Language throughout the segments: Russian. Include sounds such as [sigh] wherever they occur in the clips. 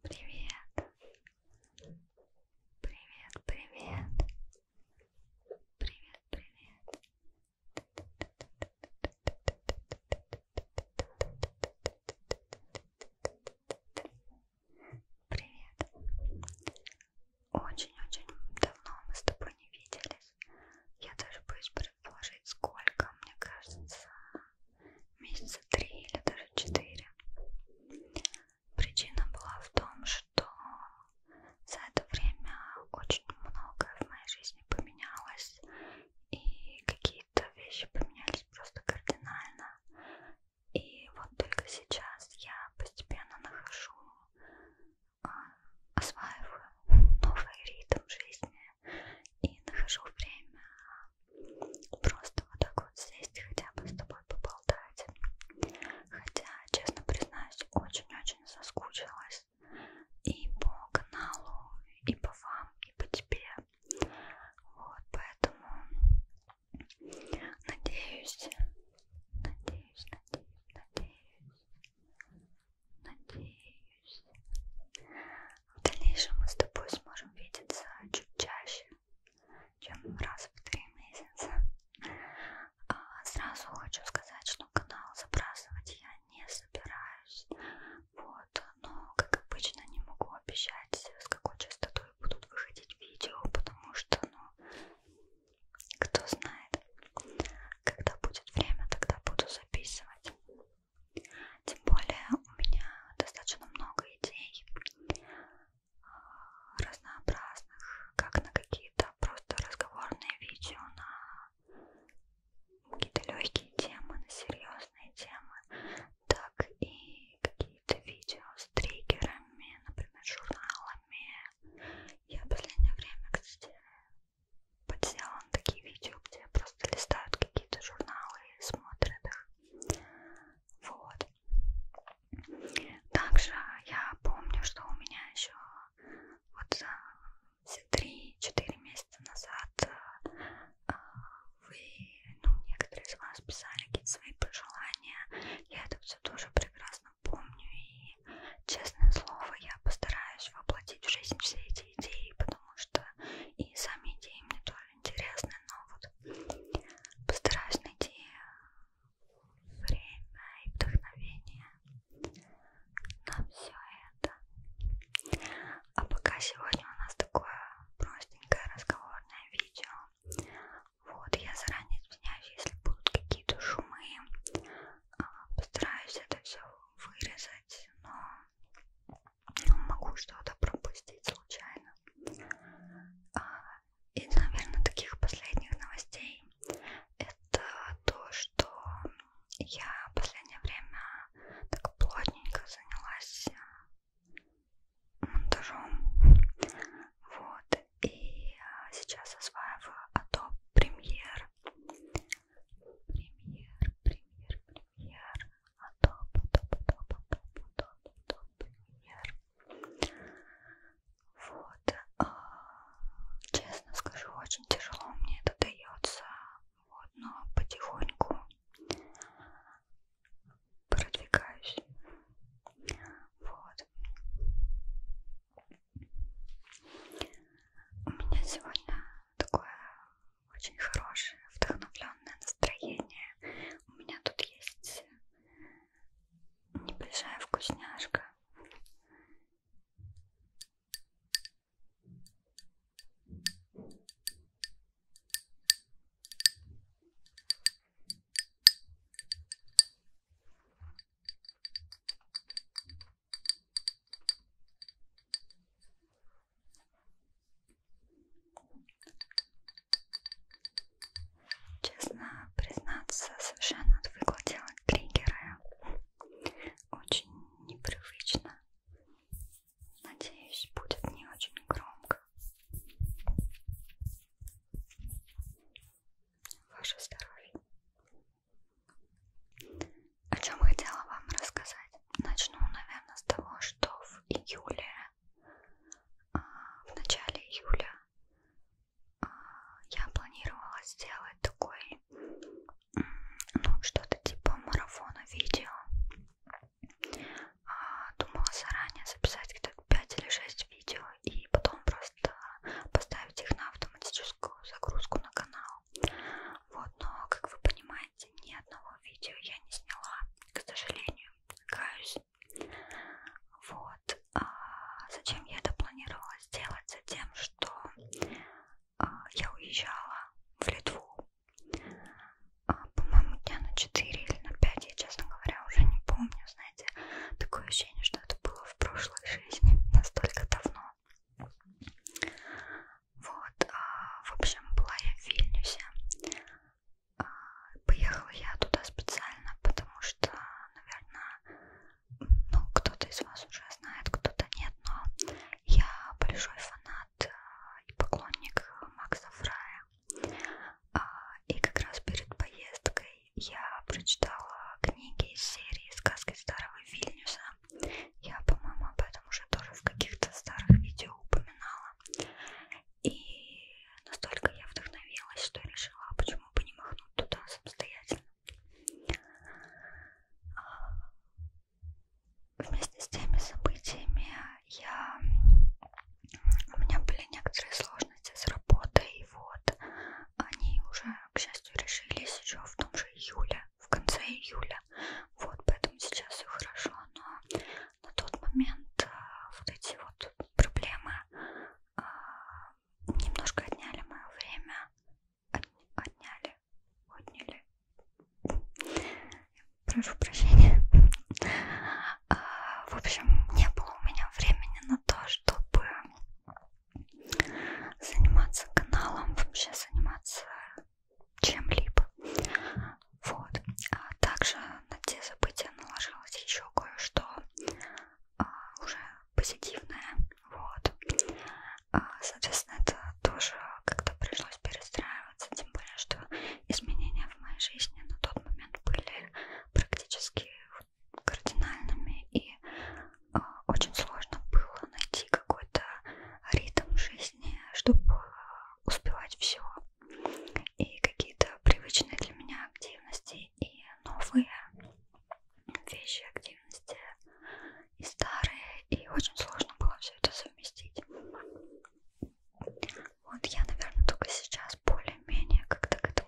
Привет. Привет, привет. Привет, привет. Привет. Очень-очень давно мы с тобой не виделись. Я даже боюсь предположить, сколько, мне кажется, месяца три или даже четыре. Причина была в том, что за это время очень многое в моей жизни поменялось, и какие-то вещи поменялись просто кардинально. И вот только сейчас я постепенно нахожу, а, осваиваю новый ритм жизни и нахожу время Просто вот так вот сесть хотя бы с тобой поболтать. Хотя, честно признаюсь, очень-очень соскучилась и по каналу, и по вам, и по тебе. Вот, поэтому надеюсь, надеюсь, надеюсь, надеюсь, надеюсь, надеюсь. В дальнейшем мы с тобой сможем видеться чуть чаще, чем раз в три месяца. А сразу хочу сказать, что канал забрасывать я не собираюсь. Вот, но, как обычно, не могу обещать, с какой частотой будут выходить видео, потому что, ну, кто знает, когда будет время, тогда буду записывать. Тем более у меня достаточно много идей а, разнообразных, как на какие-то просто разговорные видео, на какие-то легкие темы, на серьезные темы, так и какие-то видео с триггерами, например, журналами. Я в последнее время, кстати, подсела на такие видео, где просто листают какие-то журналы и смотрят их. Вот. Также я помню, что у меня еще вот все 3-4 месяца назад э, вы, ну, некоторые из вас писали какие-то свои пожелания. Я это все тоже прекрасно помню. И, честное слово, я постараюсь воплотить в жизнь все эти идеи, потому что и сами идеи мне тоже интересны, но вот постараюсь найти время и вдохновение на все это. А пока сегодня у нас такое простенькое разговорное видео. Вот, я заранее извиняюсь, если будут какие-то шумы. А, постараюсь это все вырезать, но могу что-то пропустить случайно. А, и, наверное, таких последних новостей это то, что я в последнее время так плотненько занялась э, монтажом. Вот. И э, сейчас осваиваю Adobe Premiere. Премьер, премьер, премьер. Адоб, адоб, адоб, адоб, адоб, адоб, премьер. Вот. Честно скажу, очень тяжело мне это дается. Вот, но потихоньку продвигаюсь. Вот. У меня сегодня такое очень хорошее, вдохновленное настроение. У меня тут есть небольшая вкусняшка. Честно признаться, совершенно отвыкла делать триггеры. Очень непривычно. Надеюсь, будет не очень громко. Ваше здоровье. О чем хотела вам рассказать? Начну, наверное, с того, что в июле, а, в начале июля а, я планировала сделать такой, ну, что-то типа марафона видео. А, думала заранее записать где-то 5 или 6 видео и потом просто поставить их на автоматическую загрузку на канал. Вот, но, как вы понимаете, ни одного видео я не сняла, к сожалению, каюсь. Вот, а зачем я это планировала сделать? За тем, что а, я уезжала в Литву, а, по-моему, дня на 4 или на 5, я, честно говоря, уже не помню, знаете, такое ощущение, что это было в прошлой жизни [laughs] настолько давно. Вот, а, в общем, была я в Вильнюсе. А, поехала я туда специально, потому что, наверное, ну, кто-то из вас уже знает, кто-то нет, но я большой фанат а, и поклонник Макса Фрая. И как раз перед поездкой я прочитала книги из серии «Сказки старого Вильнюса» фитнеса. Я, по-моему, об этом уже тоже в каких-то старых видео упоминала. И настолько я вдохновилась, что решила, а почему бы не махнуть туда самостоятельно. А, вместе с теми событиями я... у меня были некоторые сложности с работой, и вот они уже к счастью, решились еще в том же июле, в конце июля. Вот, поэтому сейчас все хорошо, но на тот момент э, вот эти вот проблемы а, немножко отняли мое время. Отняли, отняли. Прошу прощения. А, в общем, не было у меня времени на то, чтобы заниматься каналом, вообще заниматься чем-либо. Вот. А также на те события наложилось еще кое-что а, уже позитивное. Вот. А, соответственно, это тоже как-то пришлось перестраиваться, тем более, что изменения в моей жизни на тот момент были практически кардинальными, и э, очень сложно было найти какой-то ритм жизни, чтобы а, успевать все. И какие-то привычные для меня активности, и новые вещи, активности, и старые, и очень сложно было все это совместить. Вот я, наверное, только сейчас более-менее как-то к этому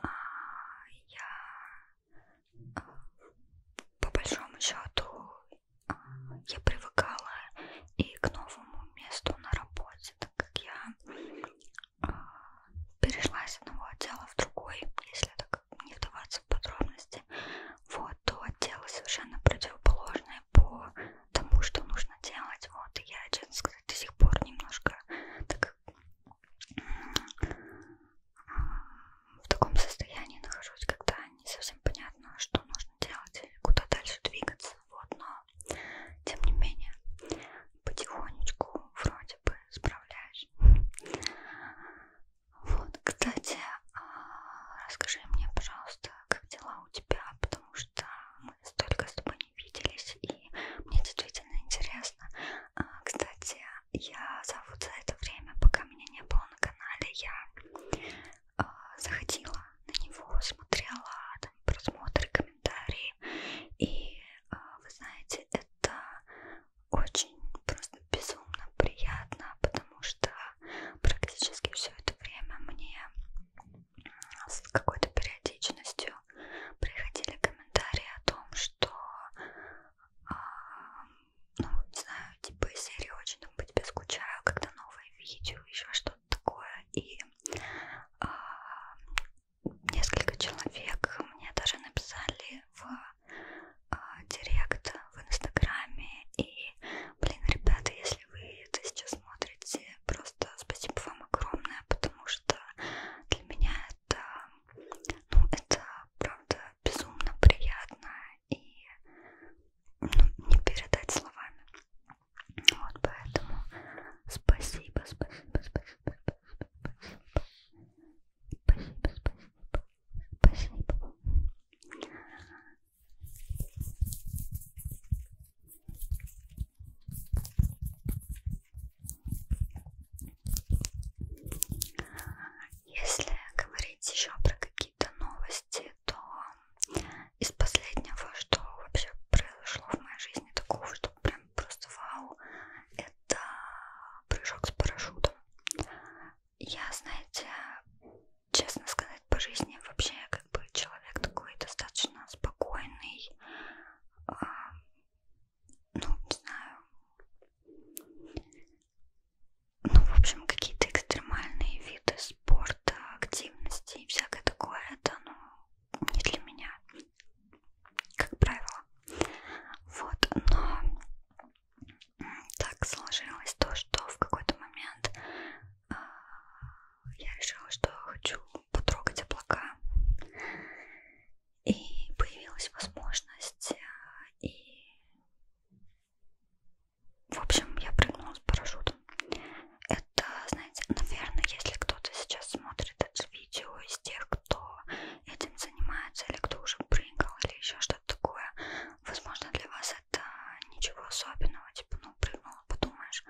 а, я а, по большому счету а, я привыкала и к новому месту на работе, так как я а, перешла с одного отдела в другой, если так не вдаваться в подробности, вот, то отделы совершенно противоположные по тому, что нужно делать, вот, и я, честно сказать, до сих пор немножко так в таком состоянии нахожусь, когда не совсем понятно, что нужно делать, куда дальше двигаться. Вот, но тем не менее потихонечку вроде бы справляюсь. Вот, кстати, а, расскажи мне, пожалуйста, как дела у тебя, потому что мы столько с тобой не виделись, и мне действительно интересно. А, кстати, я за вот за это время, пока меня не было на канале, я а, заходила на него, смотрела там просмотры, комментарии, и а, вы знаете, это очень просто безумно приятно, потому что практически все это время мне с какой-то периодичностью приходили комментарии о том, что, э, ну, не знаю, типа из серии очень там по тебе скучаю, когда новое видео, еще что-то такое. И э, несколько человек мне даже написали в э, директ в Инстаграме. И, блин, ребята, если вы это сейчас смотрите, просто Просто спасибо вам огромное, потому что для меня это, ну, это правда безумно приятно и ну, не передать словами. Вот поэтому спасибо, спасибо, спасибо, спасибо, спасибо, спасибо, спасибо. Если говорить еще про какие-то новости, то из последнего, что вообще произошло в моей жизни такого, что прям просто вау, это прыжок с парашютом. Я, знаете, честно сказать, по жизни вообще как бы человек такой достаточно спокойный, э, ну, не знаю, ну, в общем, какие-то экстремальные виды спорта, активности и всякое такое, это, ну, не для меня, как правило. Вот, но так сложилось то, что в какой-то момент я решила, что хочу потрогать облака. И появилась возможность, э, и, в общем, я прыгнула с парашютом. Это, знаете, наверное, если кто-то сейчас смотрит это видео из тех, кто этим занимается, или кто уже прыгал, или еще что-то такое, возможно, для вас это ничего особенного, типа, ну, прыгнула, подумаешь.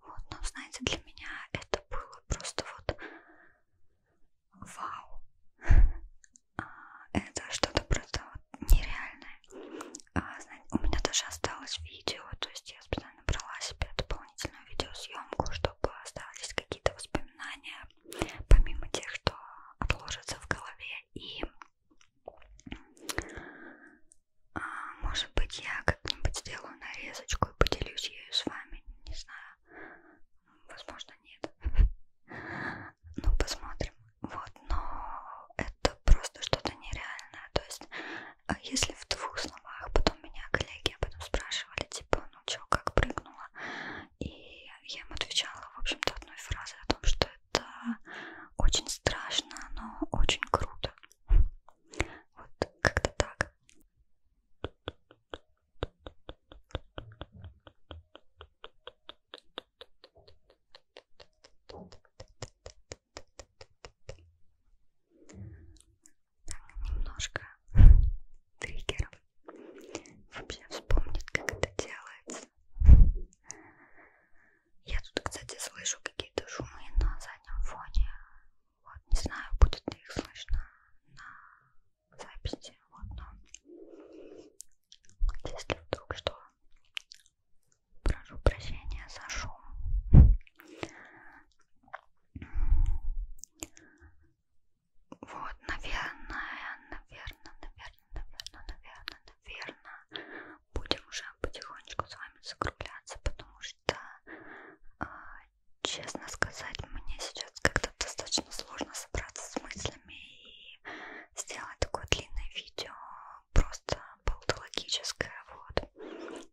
Вот, но ну, знаете, для меня это было просто вот вау. А, это что-то просто вот нереальное. А, знаете, у меня даже осталось видео, то есть я специально брала себе дополнительную видеосъемку, чтобы остались какие-то воспоминания, помимо тех, что отложатся в голове. И а, может быть, я как-нибудь сделаю нарезочку и поделюсь ею с вами. Не знаю. Возможно, нет. [laughs] Ну, посмотрим. Вот, но это просто что-то нереальное. То есть, а если в двух словах, потом меня коллеги об этом спрашивали, типа, ну чё, как прыгнула? И я им отвечала, в общем-то, одной фразой о том, что это очень страшно, но очень круто. Вот как-то так. Немножко триггером вообще вспомнить, как это делается. Я тут, кстати, слышу какие-то шумы на заднем фоне. Вот, не знаю, будет ли их слышно на записи. Вот, но если вдруг что, прошу прощения за шум. Вот, наверное, наверное, наверное, наверное, наверное, верно, будем уже потихонечку с вами закругляться, потому что, э, честно сказать, мне сейчас как-то достаточно сложно собраться с мыслями и сделать такое длинное видео, просто полутологическое, вот.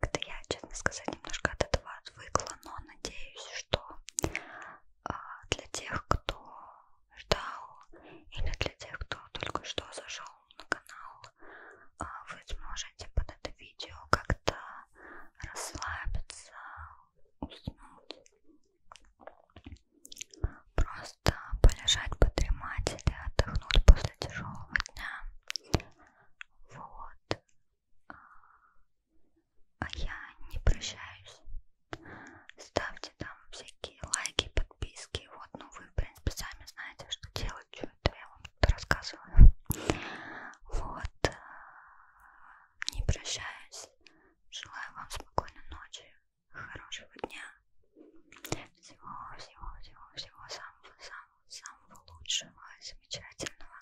Когда я, честно сказать, немножко от этого отвыкла, но надеюсь, что э, для тех, кто ждал или для тех, кто только что зашел канал, на канал а вы сможете под это видео как-то расслабиться, уснуть, просто полежать, подремать или отдохнуть после тяжелого дня. Вот. А я не прощаюсь. Ставьте там всякие лайки, подписки подписки. Вот, ну вы, в принципе, сами знаете, что делать, что это я вам тут рассказываю. Вот. Э, не прощаюсь. Желаю вам спокойной ночи, хорошего дня. Всего, всего, всего, всего самого, самого, самого лучшего и замечательного.